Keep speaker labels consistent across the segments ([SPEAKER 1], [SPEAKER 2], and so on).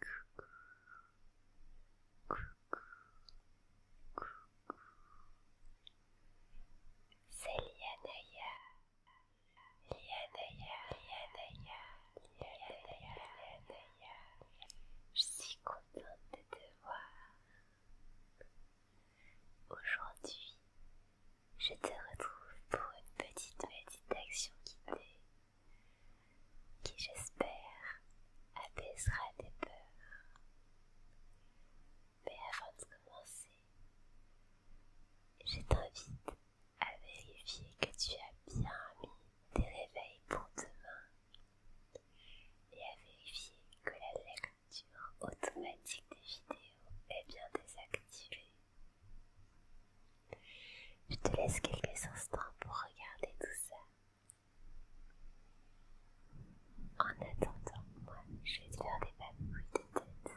[SPEAKER 1] Coucou. Coucou. Coucou. C'est Lianaya. Lianaya, Lianaya, Lianaya, Lianaya. Je suis contente de te voir. Aujourd'hui, je te retrouve pour une petite méditation guidée qui j'espère apaisera tes peurs. Mais avant de commencer, je t'invite à vérifier que tu as bien mis tes réveils pour demain et à vérifier que la lecture automatique des vidéos est bien désactivée. Je te laisse quelques instants pour regarder tout ça. En attendant, moi, je vais te faire des papouilles de tête.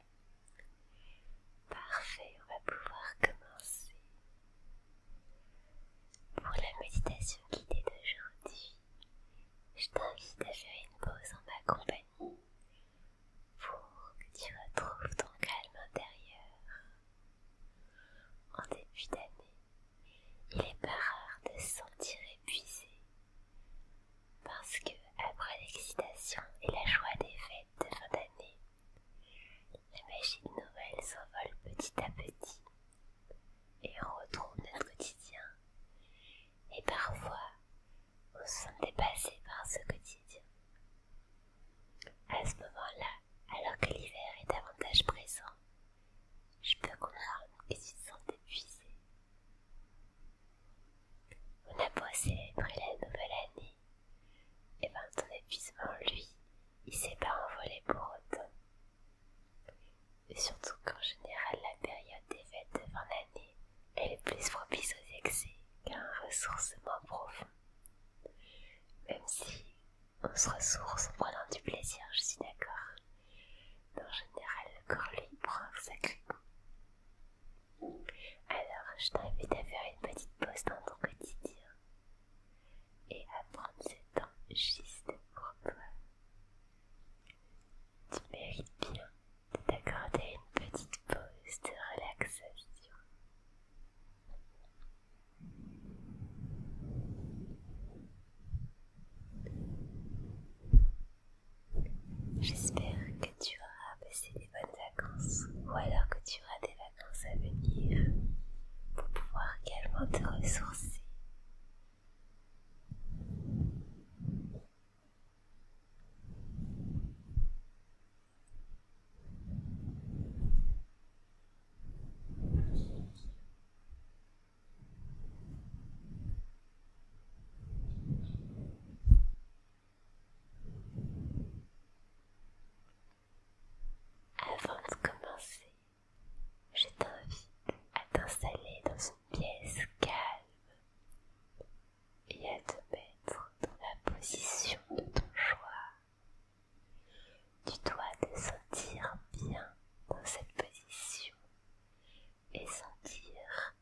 [SPEAKER 1] Parfait, on va pouvoir commencer. Pour la méditation guidée d'aujourd'hui, je t'invite à faire une pause en ma compagnie pour que tu retrouves ton calme intérieur. En début d'année, il est pas rare de se sentir épuisé parce que, après l'excitation et la joie des fêtes de fin d'année, la magie de Noël s'envole petit à petit et on retrouve notre quotidien. Et parfois, on se sent dépassé par ce quotidien. À ce moment-là, alors que l'hiver est davantage présent, je peux comprendre que tu te épuisés, épuisé. On a beau célébrer la nouvelle année et eh bien ton épuisement, lui, il s'est pas envolé pour autant. Et surtout qu'en général, la période des fêtes de fin d'année, elle est plus propice aux excès qu'à un ressourcement profond. Même si on se ressource en prenant du plaisir, je suis d'accord. en général, le corps lui prend un sacré alors, je t'invite à faire une petite pause dans ton quotidien et à prendre ce temps juste pour toi. Tu mérites bien de t'accorder une petite pause de relaxation. J'espère que tu auras passé des bonnes vacances ou alors que tu auras des vacances à venir pour pouvoir également te ressourcer. Avant de commencer, je t'invite à t'installer dans une pièce calme et à te mettre dans la position de ton choix. Tu dois te sentir bien dans cette position et sentir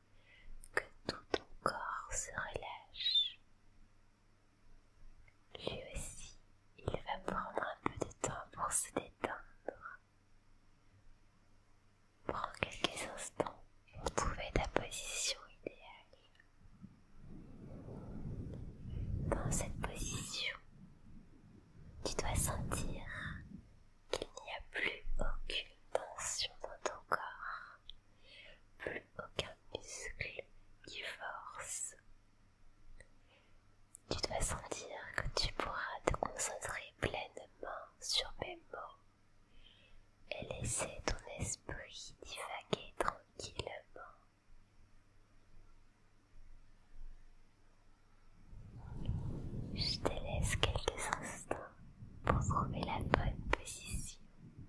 [SPEAKER 1] que tout ton corps se relâche lui aussi, il va prendre un peu de temps pour se détendre. Prends quelques instants pour trouver ta position idéale. Dans cette position, tu dois sentir qu'il n'y a plus aucune tension dans ton corps, plus aucun Muscles, Tu dois sentir que tu pourras te concentrer pleinement sur mes mots et laisser ton esprit divaguer tranquillement. Je te laisse quelques instants pour trouver la bonne position.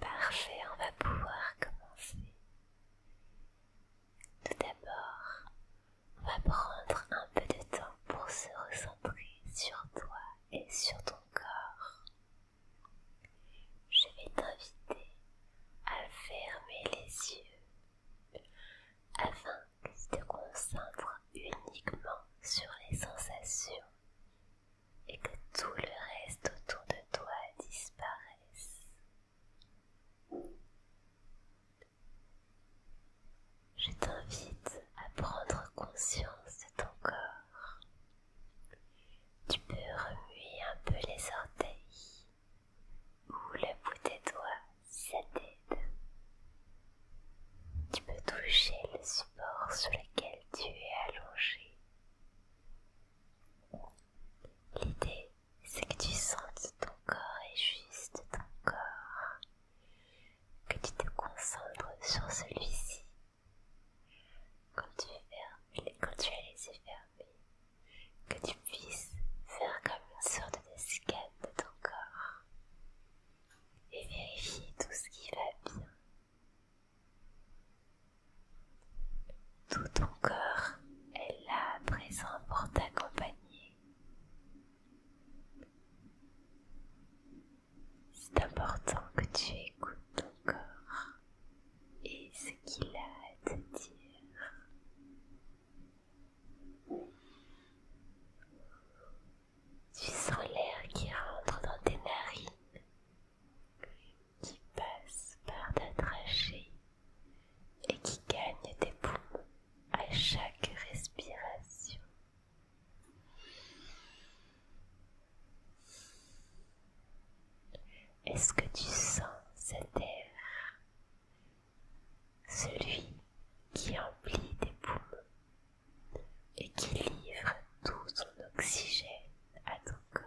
[SPEAKER 1] Parfait, on va pouvoir commencer. Tout d'abord, on va prendre un peu de temps pour se recentrer sur toi et sur ton corps. Je vais t'inviter à fermer les yeux afin que tu te concentres uniquement sur les sensations et que tout le reste autour de toi disparaisse. Je t'invite à prendre conscience de ton corps. Tu peux remuer un peu les orteils ou le bout des doigts si ça t'aide. Tu peux toucher le support sur lequel tu es allongé. L'idée, c'est que tu sentes ton corps et juste ton corps que tu te concentres sur celui-ci. Quand tu, fermes, quand tu as laissé fermer que tu puisses faire comme une sorte de scan de ton corps et vérifier tout ce qui va bien. Tout ton corps est là à présent pour t'accompagner. C'est important que tu écoutes ton corps et ce qu'il a à te dire. Tu sens l'air qui rentre dans tes narines, qui passe par ta trachée et qui gagne tes poumons à chaque respiration. Est-ce que tu sens cet air, celui qui emplit tes poumons et qui livre tout son oxygène à ton corps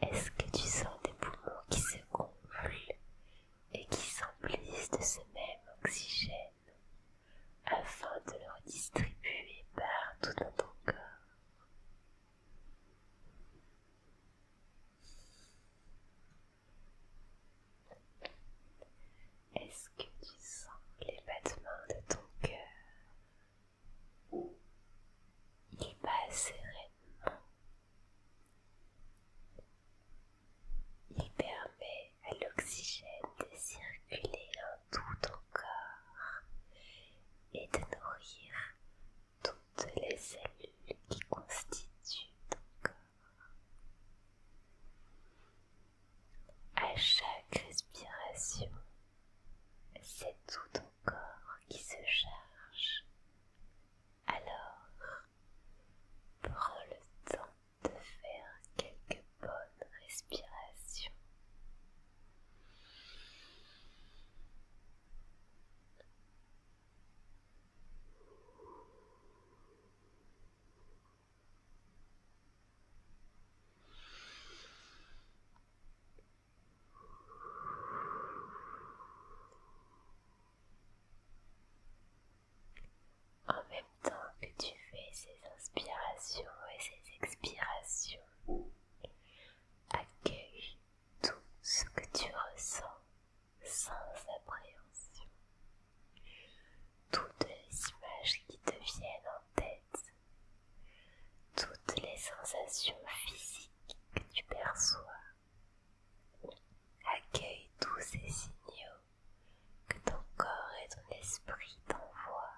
[SPEAKER 1] est-ce que tu sens des poumons qui se gonflent et qui s'emplissent de ce même oxygène afin de le redistribuer partout dans ton corps Est-ce que tu sens les battements de ton cœur il passe sereinement. Il permet à l'oxygène de circuler dans tout ton corps et de nourrir toutes les cellules qui constituent ton corps. À chaque respiration, c'est tout ton corps qui se charge. Alors, prends le temps de faire quelques bonnes respirations. En même temps que tu fais ces inspirations et ces expirations, accueille tout ce que tu ressens sans appréhension. Toutes les images qui te viennent en tête toutes les sensations physiques que tu perçois. Accueille tous ces signaux que ton corps et ton esprit t'envoient.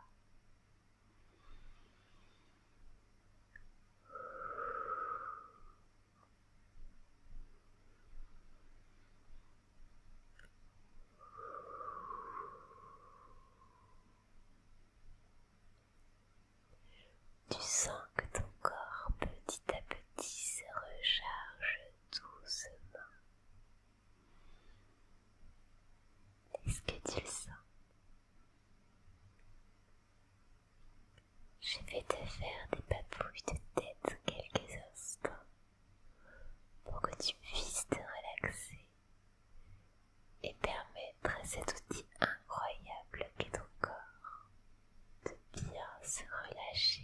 [SPEAKER 1] Tu sens que ton corps petit à petit se recharge doucement. Est-ce que tu le sens Je vais te faire des papouilles de tête quelques instants pour que tu puisses te relaxer et permettre cet outil incroyable qu'est ton corps de bien se relâcher.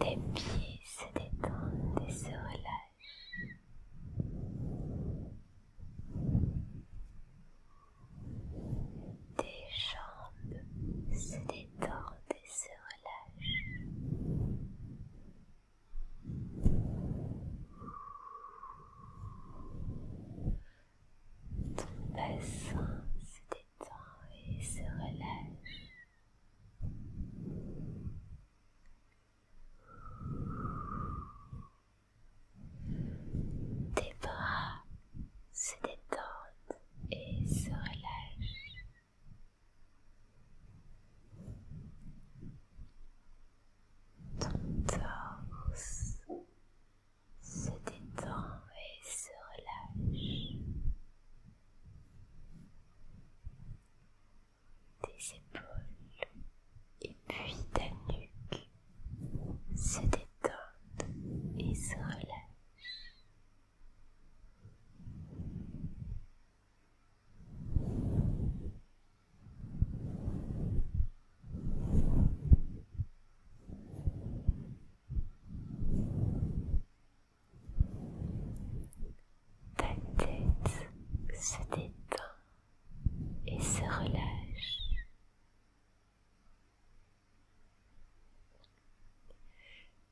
[SPEAKER 1] Tes pieds se détendent et se relâchent. Tes jambes se détendent se relâche. Ton bassin se détend et se relâche. Tes bras se détendent et se relâchent. Ton torse se détend et se relâche. Tes épaules et puis ta nuque se détendent et se relâchent. Ta tête se détend et se relâche.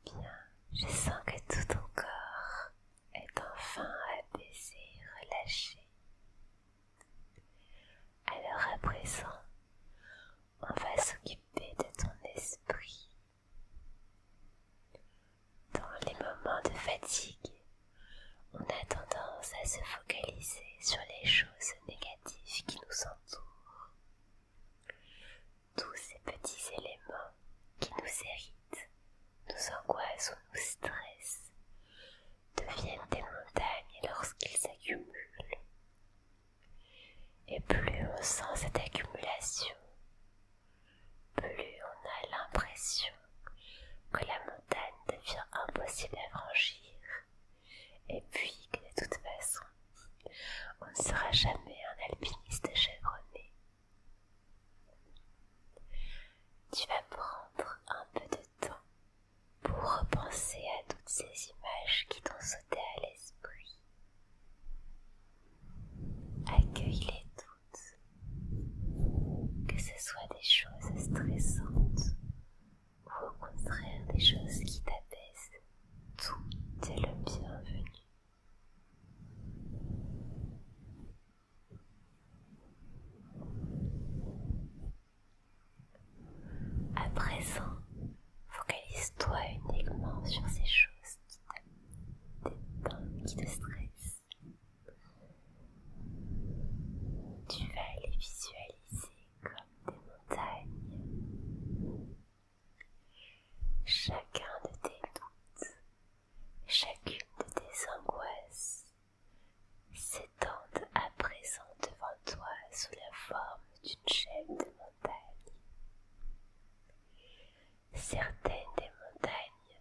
[SPEAKER 1] Bien, je sens que tout ton corps est enfin apaisé, relâché. Alors à présent, on va s'occuper de ton esprit. Dans les moments de fatigue, on a tendance à se focaliser sur les choses négatives qui nous entourent. Tous ces petits éléments qui nous irritent, nous angoissent ou nous stressent, deviennent des montagnes lorsqu'ils s'accumulent. Et plus on sent cette accumulation, plus on a l'impression que la montagne devient impossible à franchir, et puis que de toute façon, on ne sera jamais un alpiniste chevronné. Tu vas prendre un peu de temps pour repenser à toutes ces images qui t'ont sauté à l'esprit. Accueille-les toutes, que ce soit des choses stressantes ou au contraire des choses qui t'apaisent. Tout est le bienvenu. À présent, focalise-toi uniquement sur ces choses qui te, qui te stressent. Tu vas les visualiser comme des montagnes Chacun de tes doutes, chacune de tes angoisses s'étendent à présent devant toi sous la forme d'une chaîne de montagnes. Certaines des montagnes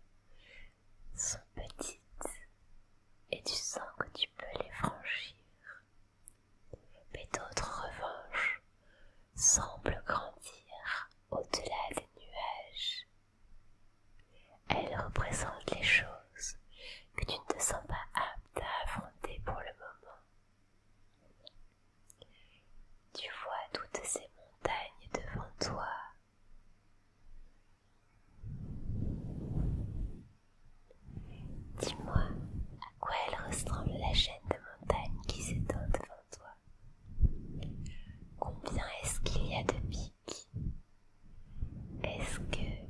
[SPEAKER 1] sont petites et tu sens que tu peux les franchir, mais d'autres revanches semble grandir au-delà des nuages. Elle représente les choses que tu ne te sens pas apte à affronter pour le moment. Tu vois toutes ces montagnes devant toi. Dis-moi, quoi elle ressemble la chaîne de montagnes qui s'étend devant toi. Combien est-ce qu'il y a de pics Est-ce que les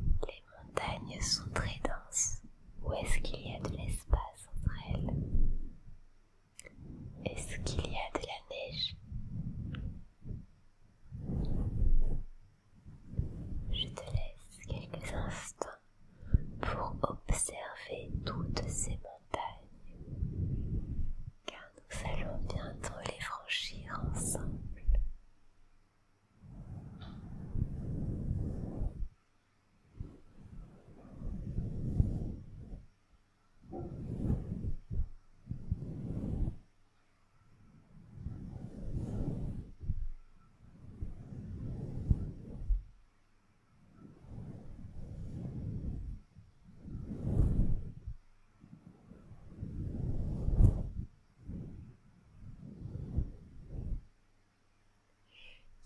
[SPEAKER 1] montagnes sont très denses ou est-ce qu'il y a de l'espace entre elles Est-ce qu'il y a de la neige Je te laisse quelques instants pour observer toutes ces montagnes, car nous allons bientôt les franchir ensemble.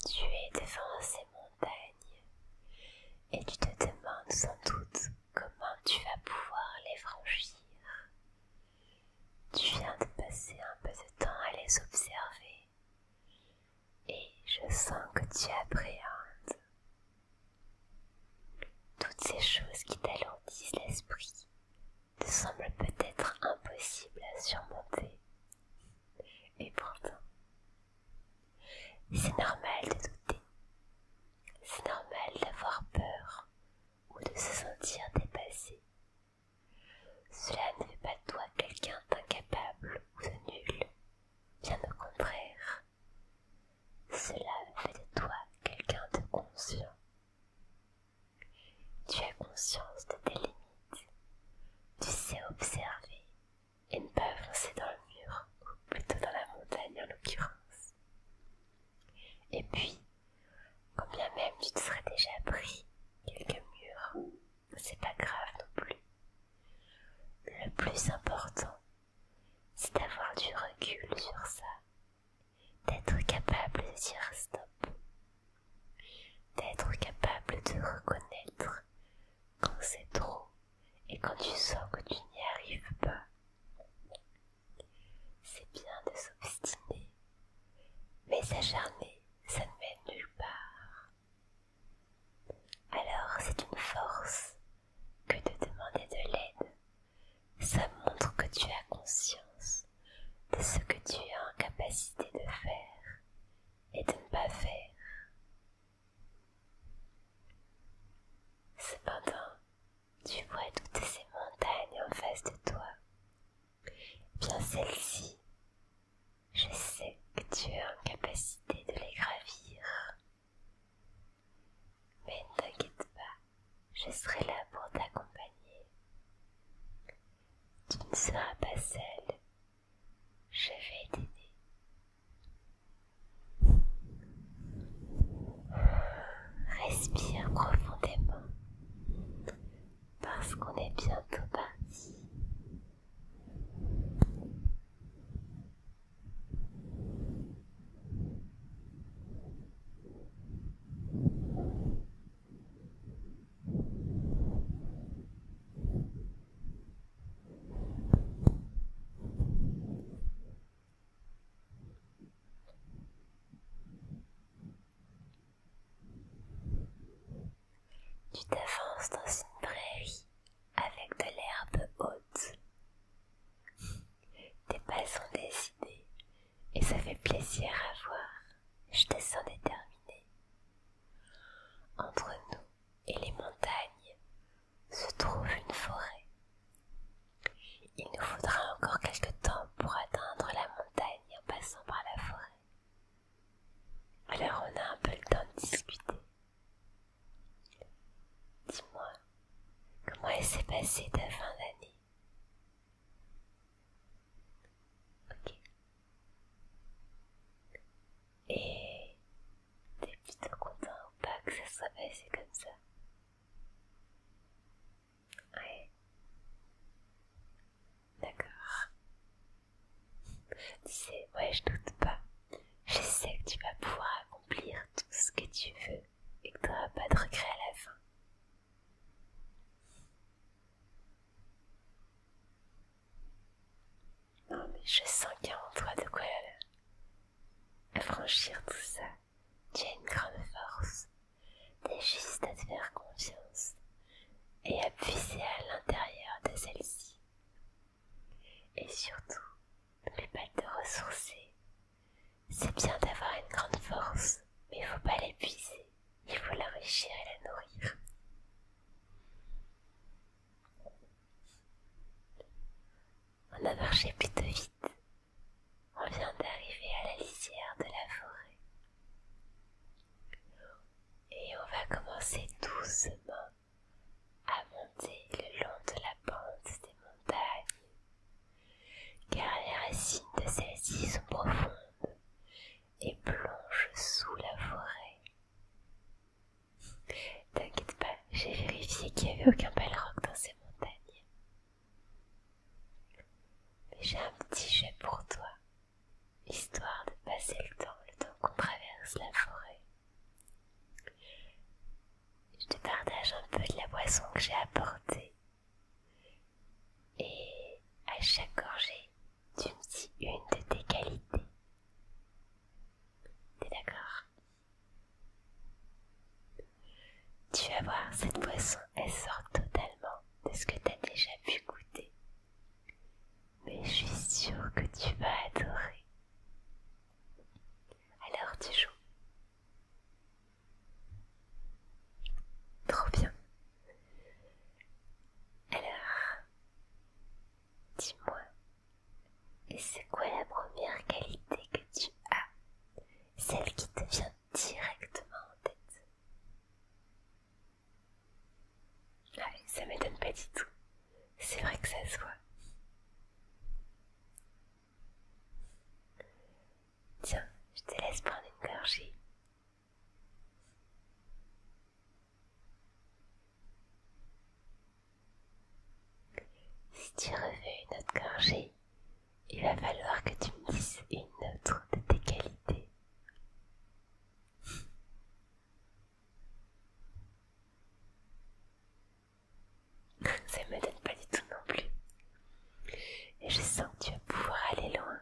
[SPEAKER 1] Tu es devant ces montagnes et tu te demandes sans doute comment tu vas pouvoir les franchir. Tu viens de passer un peu de temps à les observer et je sens que tu appréhendes toutes ces choses qui t'alourdissent l'esprit te semblent peut-être impossibles à surmonter. Et pourtant, c'est normal de douter, c'est normal d'avoir peur ou de se sentir dépassé. Cela ne fait pas de toi quelqu'un d'incapable ou de nul, bien au contraire. Cela fait de toi quelqu'un de conscient. Tu as conscience de tes limites. Tu sais observer et ne pas avancer dans le mur, ou plutôt dans la montagne en l'occurrence. Et puis, quand bien même tu te serais déjà pris quelques murs, c'est pas grave non plus. Le plus important, c'est d'avoir du recul sur ça, d'être capable de dire stop, d'être capable de reconnaître quand c'est trop et quand tu sens que tu n'y arrives pas. C'est bien de s'obstiner, mais s'acharner, ça ne mène nulle part. Alors c'est une force que de demander de l'aide. Ça montre que tu as conscience de ce que tu as en capacité de faire et de ne pas faire. Cependant, tu vois toutes ces montagnes en face de toi. Bien celles-ci je sais que tu es en capacité de les gravir. Mais ne t'inquiète pas, je serai là pour t'accompagner. Tu ne seras pas seule. Je vais t'aider. Respire profondément parce qu'on est bientôt parti. Tu t'avances dans une prairie avec de l'herbe haute. Tes pas sont décidés et ça fait plaisir à voir. Je te sens déterminé Entre nous et les montagnes se trouve une forêt. Il nous faudra encore quelque temps pour atteindre la montagne en passant par la forêt. Alors on a un peu le temps de discuter. Dis-moi, comment elle s'est passé ta fin d'année Ok. Et t'es plutôt content ou pas que ça soit passé comme ça Ouais. D'accord. Tu sais, ouais, je doute pas. Je sais que tu vas pouvoir accomplir tout ce que tu veux et que tu n'auras pas de regrets à la fin. Non, mais je sens qu'il y a en toi de quoi Affranchir euh, franchir tout ça. Tu as une grande force T'es juste à te faire confiance et à puiser à l'intérieur de celle-ci. Et surtout, n'oublie pas de te ressourcer. C'est bien d'avoir une grande force, mais il faut pas l'épuiser. Il faut l'enrichir et la nourrir. On a marché plutôt vite. On vient d'arriver à la lisière de la forêt. Et on va commencer doucement à monter le long de la pente des montagnes, car les racines de celles-ci sont profondes et plongent sous la forêt. T'inquiète pas, j'ai vérifié qu'il n'y avait aucun roc dans ces montagnes. Mais j'ai un petit jeu pour toi histoire de passer le temps, le temps qu'on traverse la forêt. Je te partage un peu de la boisson que j'ai apportée. Et à chaque gorgée, tu me dis une de tes qualités. T'es d'accord Tu vas voir, cette boisson elle sort totalement de ce que tu as déjà pu goûter. Mais je suis sûre que tu vas adorer. Alors tu joues. Trop bien. Alors, dis-moi, c'est quoi la première qualité que tu as Celle qui te vient directement en tête ça m'étonne pas du tout. C'est vrai que ça se voit. Tiens, je te laisse prendre une gorgée. Si tu refais une autre gorgée, il va falloir que tu me dises une autre de tes qualités. Ça ne donne pas du tout non plus. Et je sens que tu vas pouvoir aller loin.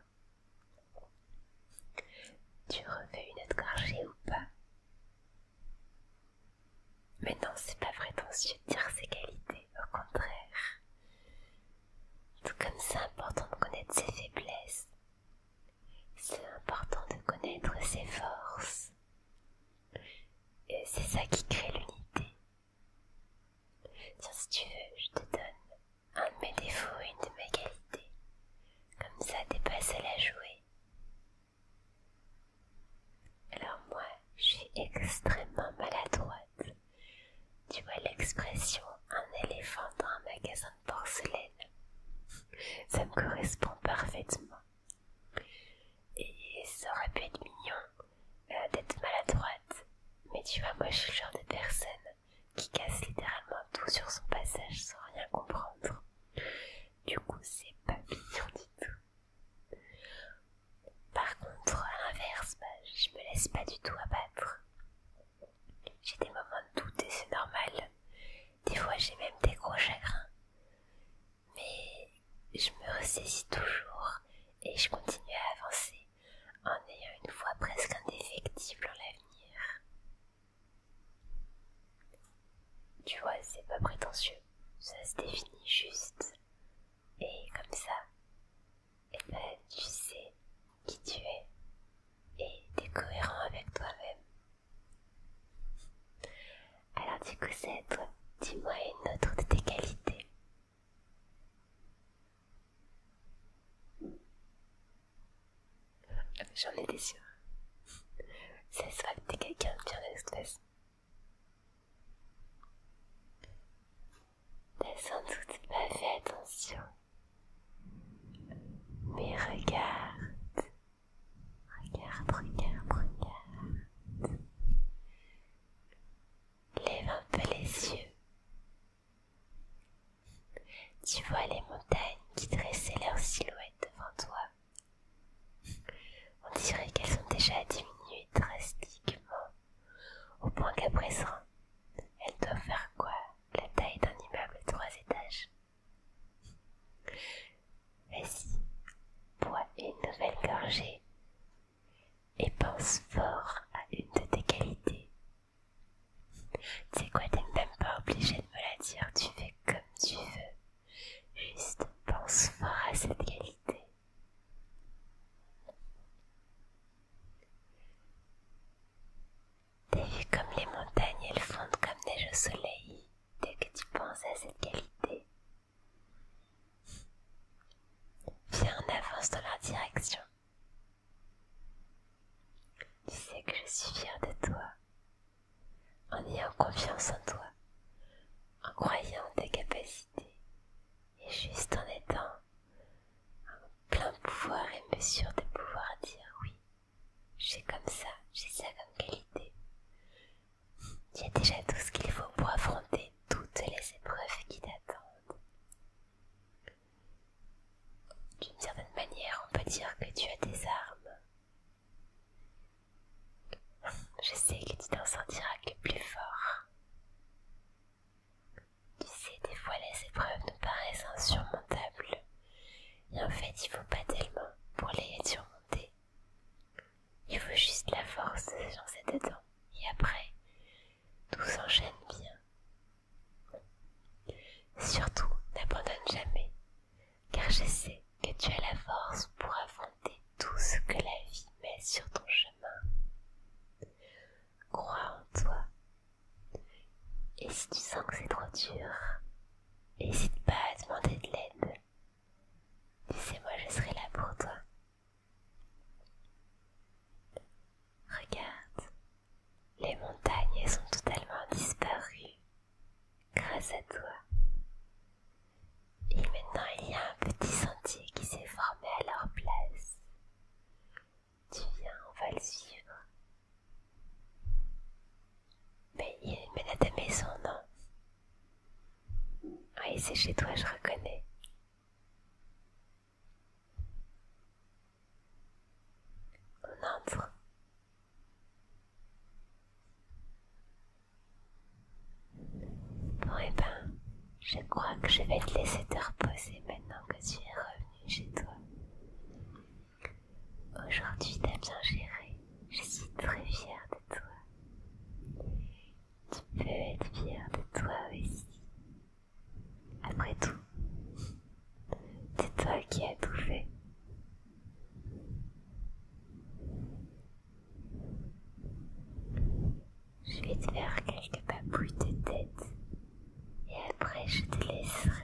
[SPEAKER 1] Tu refais une autre gorgée ou pas Mais non, c'est pas vrai, prétentieux yeux dire ses qualités, au contraire. Tout comme c'est important de connaître ses faiblesses, c'est important de connaître ses forces. Et c'est ça qui crée l'unité. si tu veux, je te donne un de mes défauts une de mes qualités. Comme ça, t'es pas seule à jouer. Alors moi, je suis extrêmement maladroite. Tu vois l'expression un éléphant dans un magasin de porcelaine. Ça me correspond parfaitement. Et ça aurait pu être mignon euh, d'être maladroite. Mais tu vois, moi je suis le genre de personne qui casse littéralement tout sur son passage sans rien comprendre. Du coup, c'est pas mignon du tout. Par contre, à l'inverse, bah, je me laisse pas du tout abattre. J'ai des moments de doute et c'est normal. Des fois j'ai même des gros chagrins. Mais je me ressaisis toujours et je continue à avancer en ayant une foi presque indéfectible en l'avenir. Tu vois, c'est pas prétentieux. Ça se définit juste. Et comme ça, eh ben, tu sais qui tu es et t'es cohérent avec toi-même. Alors du coup, c'est à toi. Dis-moi une autre de tes qualités. J'en étais sûre. Ça se que t'es quelqu'un de bien de T'as sans doute pas fait attention. Mais regarde. Regarde, regarde, regarde. Lève un peu les yeux. Tu vois les montagnes qui dressaient leur silhouette devant toi. On dirait qu'elles ont déjà diminué drastiquement au point qu'après présent, elle doit faire quoi La taille d'un immeuble de trois étages. Vas-y, bois une nouvelle gorgée et pense fort à une de tes qualités. C'est sais quoi, t'es même pas obligé de me la dire, tu fais comme tu veux. Juste pense fort à cette qualité. T'es vu comme les montagnes, elles fondent comme neige au soleil dès que tu penses à cette qualité. Viens en avance dans leur direction. Tu sais que je suis fière de toi. En ayant confiance en toi, en croyant en tes capacités et juste en étant en plein pouvoir et mesure de pouvoir dire oui, j'ai comme ça, j'ai ça comme qualité. Tu as déjà tout ce qu'il faut pour affronter toutes les épreuves qui t'attendent. D'une certaine manière, on peut dire que tu as des armes. Je sais que tu t'en sentiras que plus fort. Tu sais, des fois les épreuves nous paraissent insurmontables. Et en fait, il faut pas tellement pour les surmonter. Il faut juste la force, dans lancer dedans. Et après, tout s'enchaîne bien. Surtout, n'abandonne jamais, car je sais que tu as la force pour affronter tout ce que la vie met sur ton chemin crois en toi. Et si tu sens que c'est trop dur, n'hésite pas à demander de l'aide. Tu sais, moi je serai là pour toi. Regarde, les montagnes sont totalement disparues grâce à toi. Et maintenant il y a un petit sentier qui s'est formé à leur place. Tu viens, on va le suivre. Mais ben, il mène à ta maison, non Oui, ah, c'est chez toi, je reconnais. On entre. Bon, et eh ben, je crois que je vais te laisser te reposer maintenant que tu es revenu chez toi. Aujourd'hui, t'as bien géré. Je suis très fière de toi. Tu peux être fière de toi aussi. Après tout, c'est toi qui as tout fait. Je vais te faire quelques papouilles de tête et après je te laisserai.